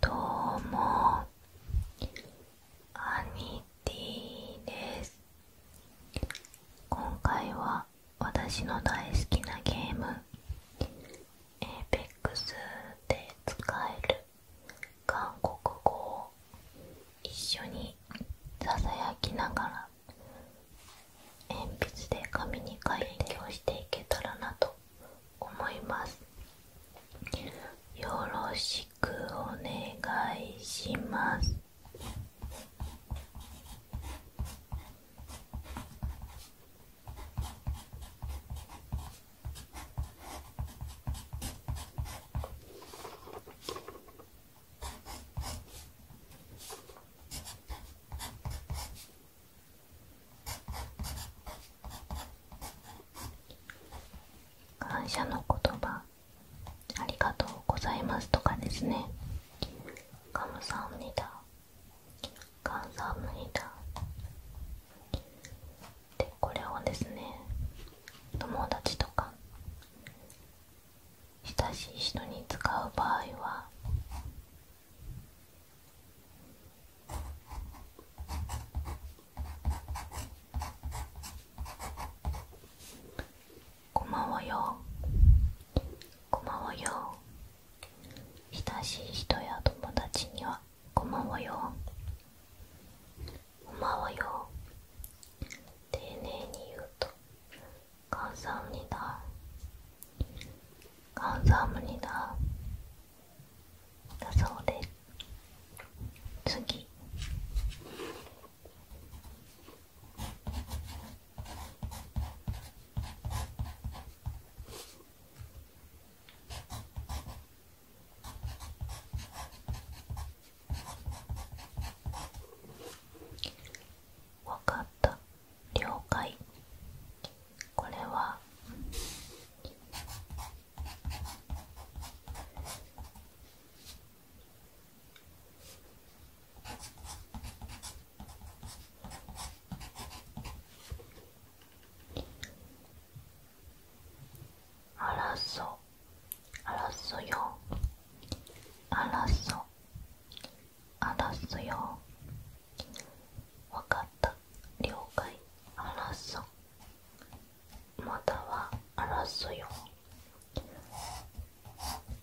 どうもアニティです今回は私の大好きなゲーム APEX で使える韓国語を一緒にささやきながら鉛筆で紙に書いて勉強していけたらなと思いますよろしくお願いします「感謝の言葉ありがとうございますとかですねカムサムニダカンムサムニダでこれをですね友達とか親しい人に使う場合はごまわよごまわよ親しい人や友達にはごまわよごまわよ丁寧に言うと「かんさんにだ関西無理だだそうで次わかった了解これは争う争よ争話すよわかった了解話そうまたはあ争うよ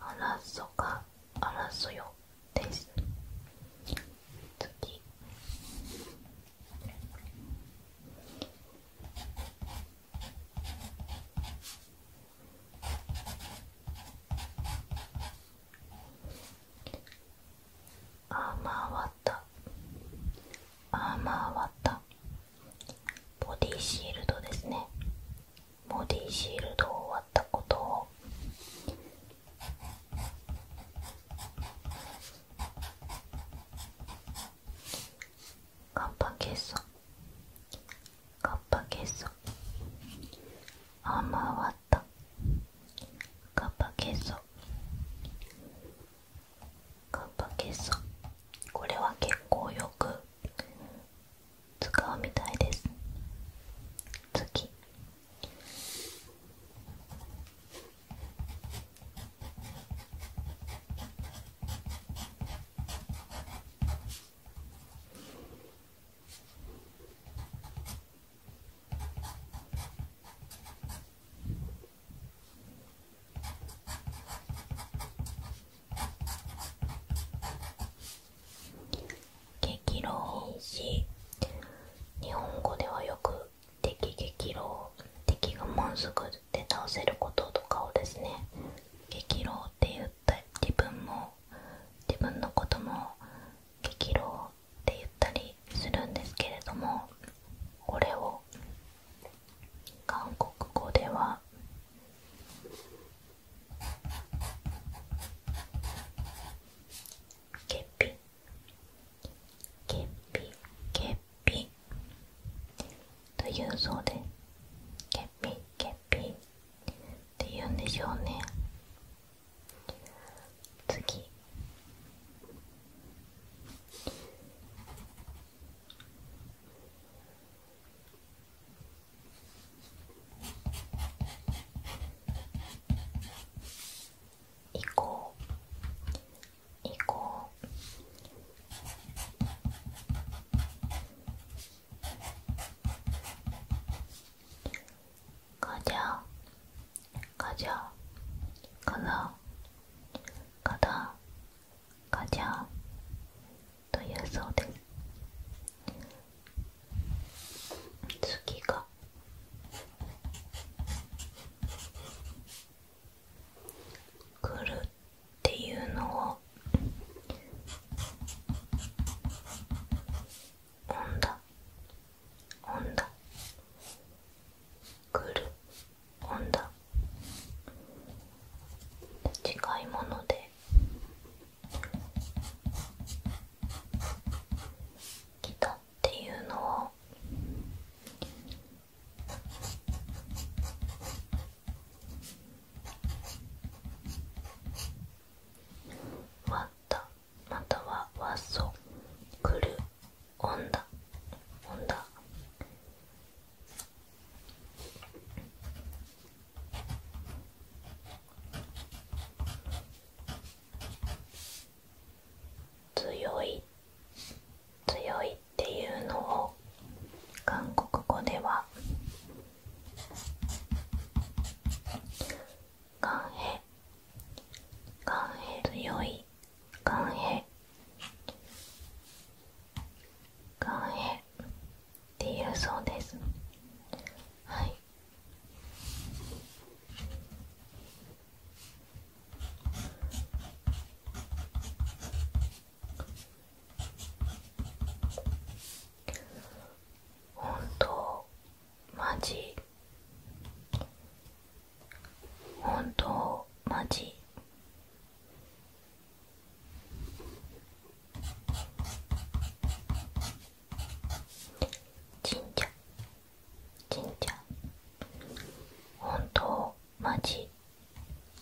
あら争うかあ争うよです次あまわたあまわたボディシールドですねボディシールドを割ったことをカンパケッサ。カンパケッサ。あー回ったカッパケソカッパケソこれは結構よく使うみたいです次激浪し日本語ではよく敵激浪敵がまんすぐで倒せることとかをですね激浪って言って自分も自分のことも激浪って言ったりするんですけれどもこれを韓国語では「ケっぴ。ケっぴ、ケっぴ。というそうで「ケっぴ、ケっぴ。っていうんでしょうね次こう。降こう。ガかじゃかじゃかざかだかじゃというそうです次が「くる」っていうのをの温度温度クール温度近いもので来たっていうのは。わったまたはワっソ、くるオンダ、オンダ。強い強いっていうのを韓国語では寒平寒平強い寒平寒平っていうそうですはい本当マジ本当マジ神社神社本当マジ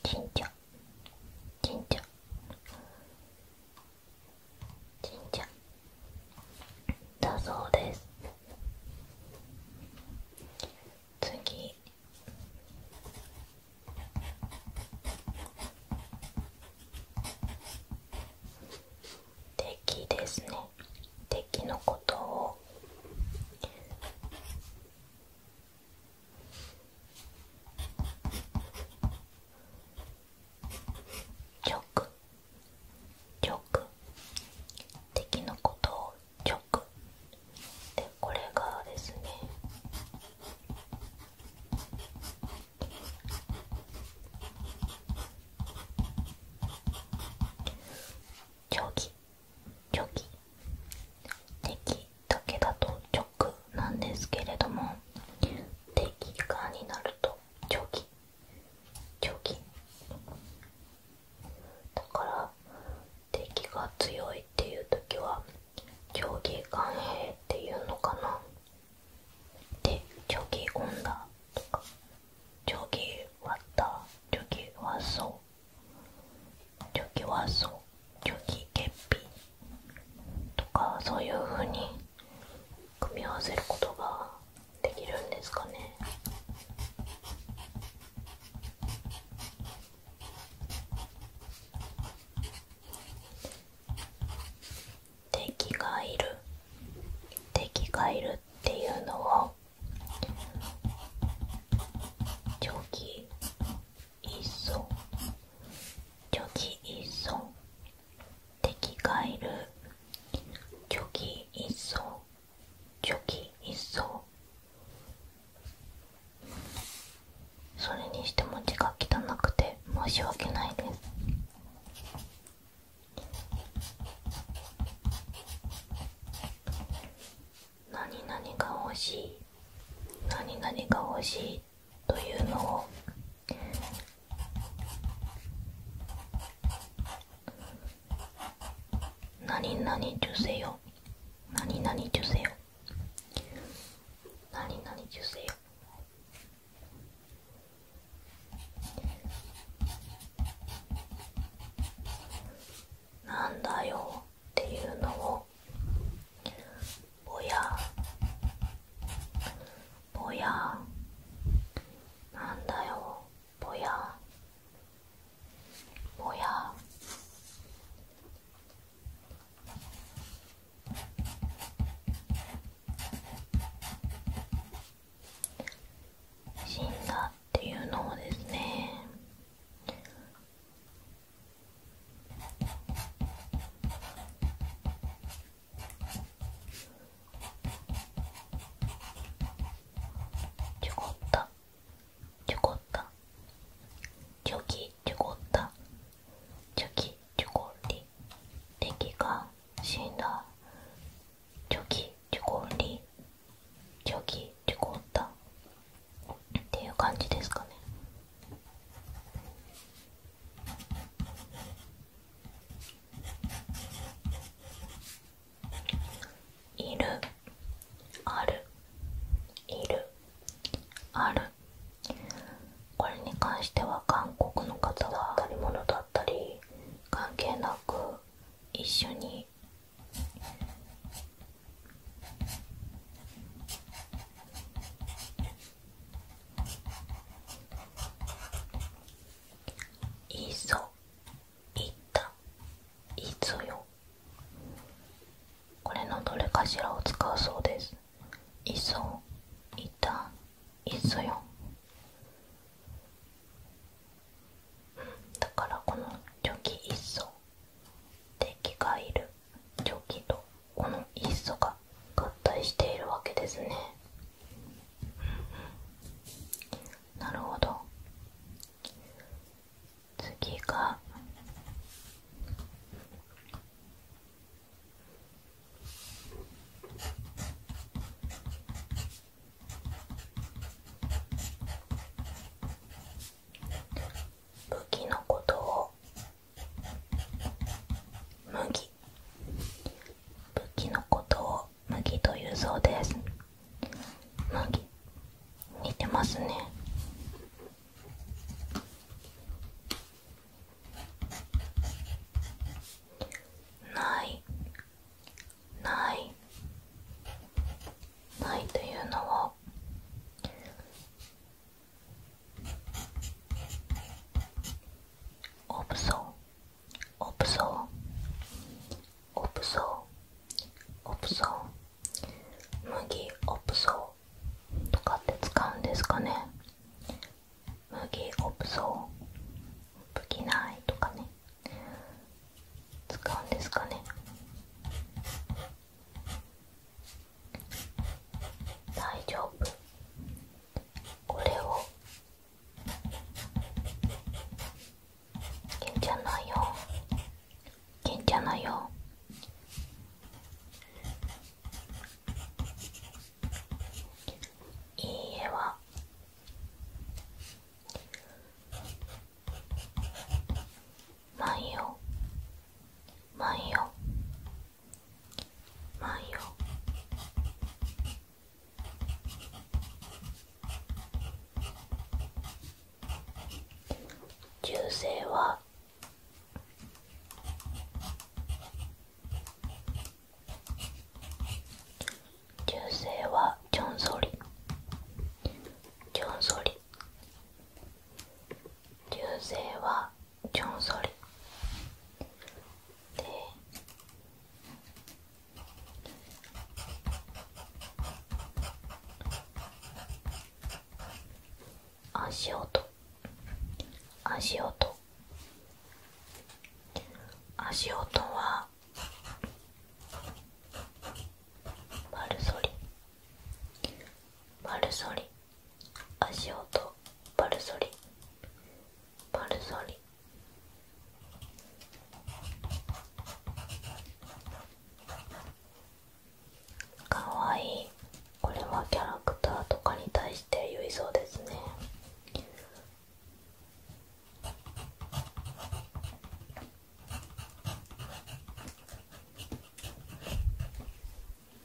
神社神社神社だそうです次敵ですね敵のことを直直敵のことを直でこれがですねョ定規定規敵だけだと直なんですけれども定期化になるとチョ長チョ期だから敵が強いっていう時は長期間平っていうのかなで長期オンダとかチョ割った。ッョギはそう。ソョギはそう。虚偽欠品とかそういうふうに組み合わせることができるんですかね敵がいる敵がいるっていうのを長期一層虚偽一層敵がいる虚偽一層虚偽一層それにしても字が汚くて申し訳ないです何々が欲しい何々が欲しいというのを何々受精よ何々受精よ何々受精よなんだよっていうのをぼやぼやなんだよぼやぼや死んだっていうのもですねちょこったちょこったチョキちょこったチョキちょこり敵が死んだチョキちょこりチョキちょこったっていう感じですかねいるあるいるあるこれに関しては韓国の方は当たり物だったり関係なく一緒にいそいったいそよこれのどれかしらを使うそうですいそいったいそよだからこの「チョいっそ」敵がいる蒸気とこのイーストが合体しているわけですねなるほど次が武器のことを麦武器のことを麦というそうです麦似てますねないないないというのはオプソオプソオプソオプソ麦オプソとかって使うんですかね麦オプソ武器ないとかね使うんですかね大丈夫これをけんちゃんないよけんちゃんないよいいえは万葉万葉万葉中世は中世はジョン・ソリジョン・ソリ流星はジョン・ソリで足音足音足音はバルソリバルソリ足音バルソリバルソリかわいいこれはキャラクターとかに対して言いそうですね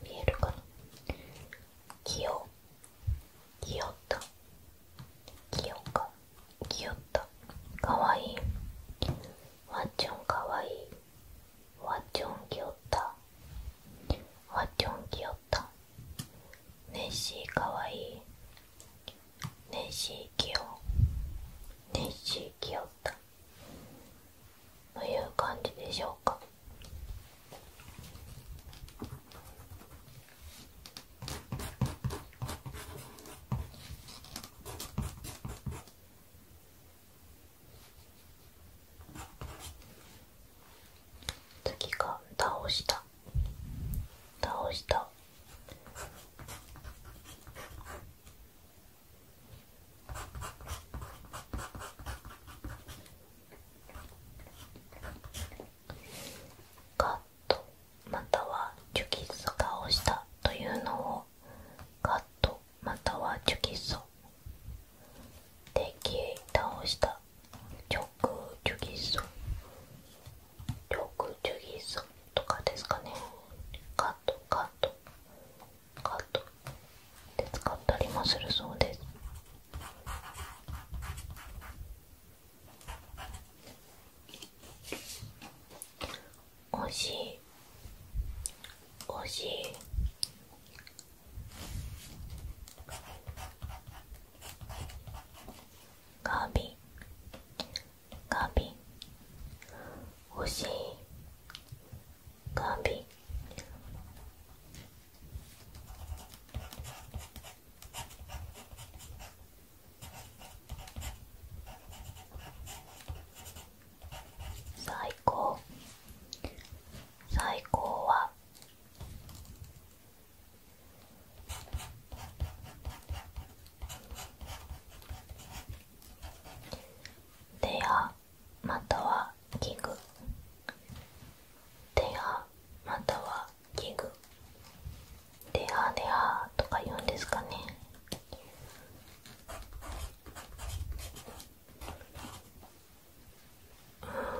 見えるかなきよきよったきよかきよったかわいいわっちょんかわいいわっちょんきよったわっちょんきよったネッシーかわいいネッシーきよネッシーきよっという感じでしょうか次が倒した倒したカットまたはチュキソ化をしたというのをカットまたはチュキッソで倒した直チュキッソ60さんとかですかねカットカットカットで使ったりもするそうです惜しい惜しいガビガビ欲しいガビ最高最高は手やまたは器具手やまたは器具ではではとか言うんですかねうんうん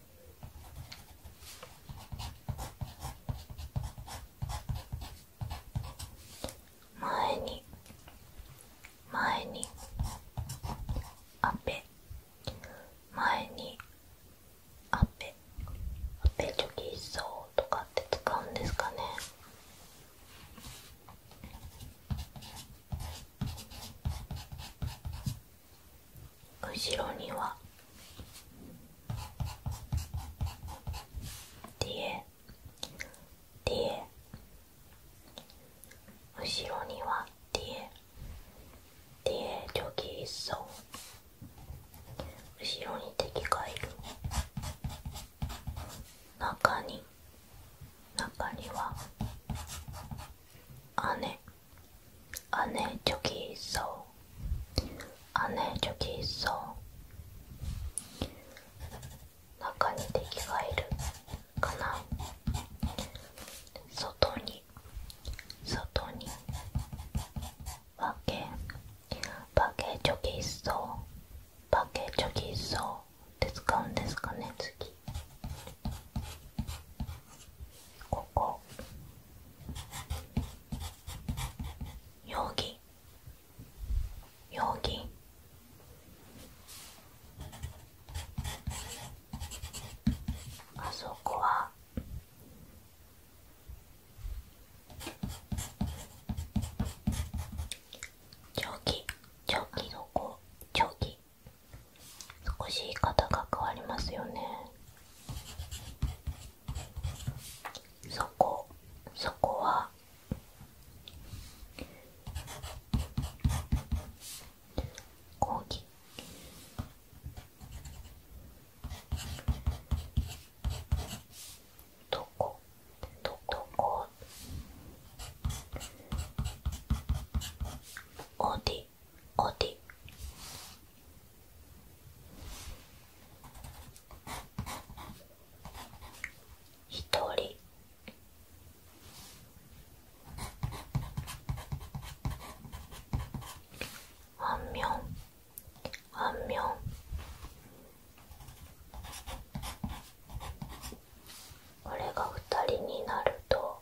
前に前にあぺ前にあぺあぺチョキそうとかって使うんですかね後ろにはディエディエ後ろにはディエディエジョギーソ後ろに敵がいる中に中には姉姉チ안해저기있어안해저기있어中に敵がいるかな外に外にバケバケチョキッソバケチョキッソって使うんですかね次こここ容疑容疑あそこはチ長期長期どこョキ。少し言い方が変わりますよねそこそこは講義どこどこオーディ어 디? 히토리안녕안녕俺が二人になると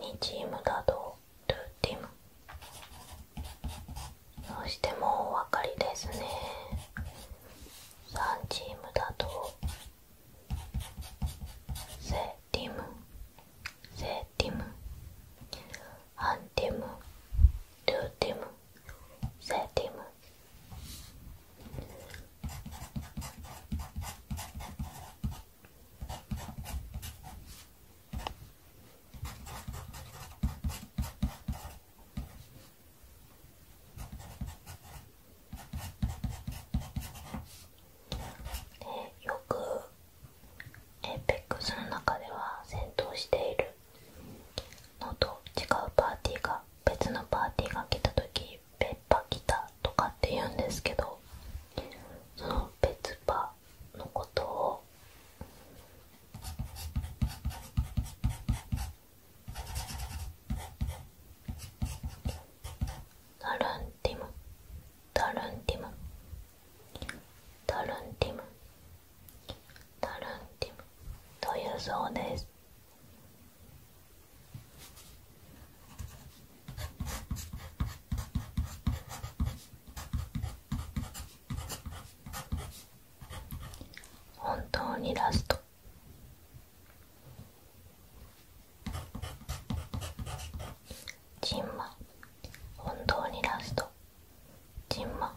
2チームだとルーティムうしてもお分かりですね3チームだとセティムセーティムアンティムルーティムセーティムよく APEX の中では戦闘しているのと違うパーティーが別のパーティーが来た時「別パ来た」とかって言うんですけどその別パのことをダルンティムダルンティムタルンティムタルンティムというそうです本当にラストジンマ本当にラストジンマ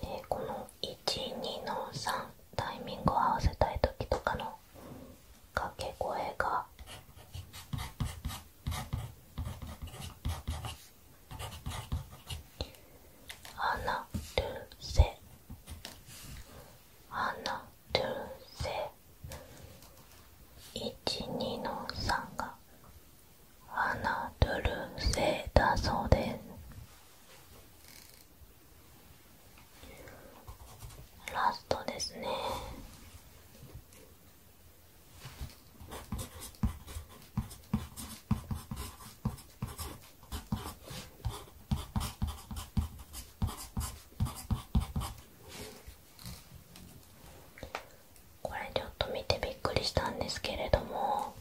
でこの1、2の3タイミングを合わせたい時とかのかけ声が「アナルセ」「アナルセ」12の3が「アナルセ」だそうですラストですねこれちょっと見てびっくりしたんですけれども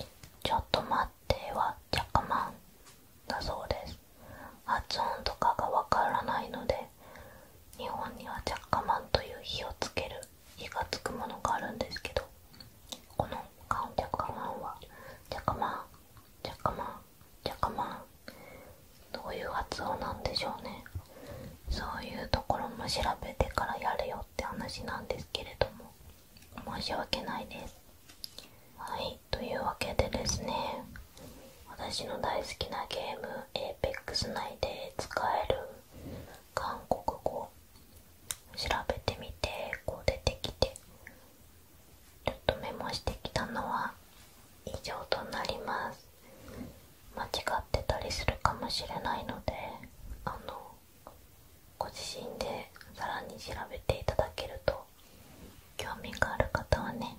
「ちょっと待って」は「ジャカマン」だそうです発音とかがわからないので日本にはジャッカマンという火をつける火がつくものがあるんですけどこのジャッカマンはジャッカマンジャッカマンジャッカマンどういう発音なんでしょうねそういうところも調べてからやるよって話なんですけれども申し訳ないですはいというわけでですね私の大好きなゲーム APEX 内で使える韓国語調べてみてこう出てきてちょっとメモしてきたのは以上となります間違ってたりするかもしれないのであのご自身でさらに調べていただけると興味がある方はね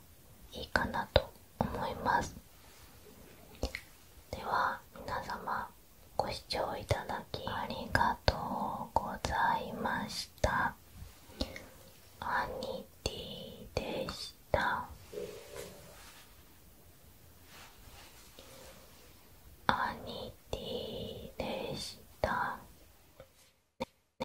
いいかなと思いますでは皆様ご視聴いただきありがとうございましたアニティでしたアニティでした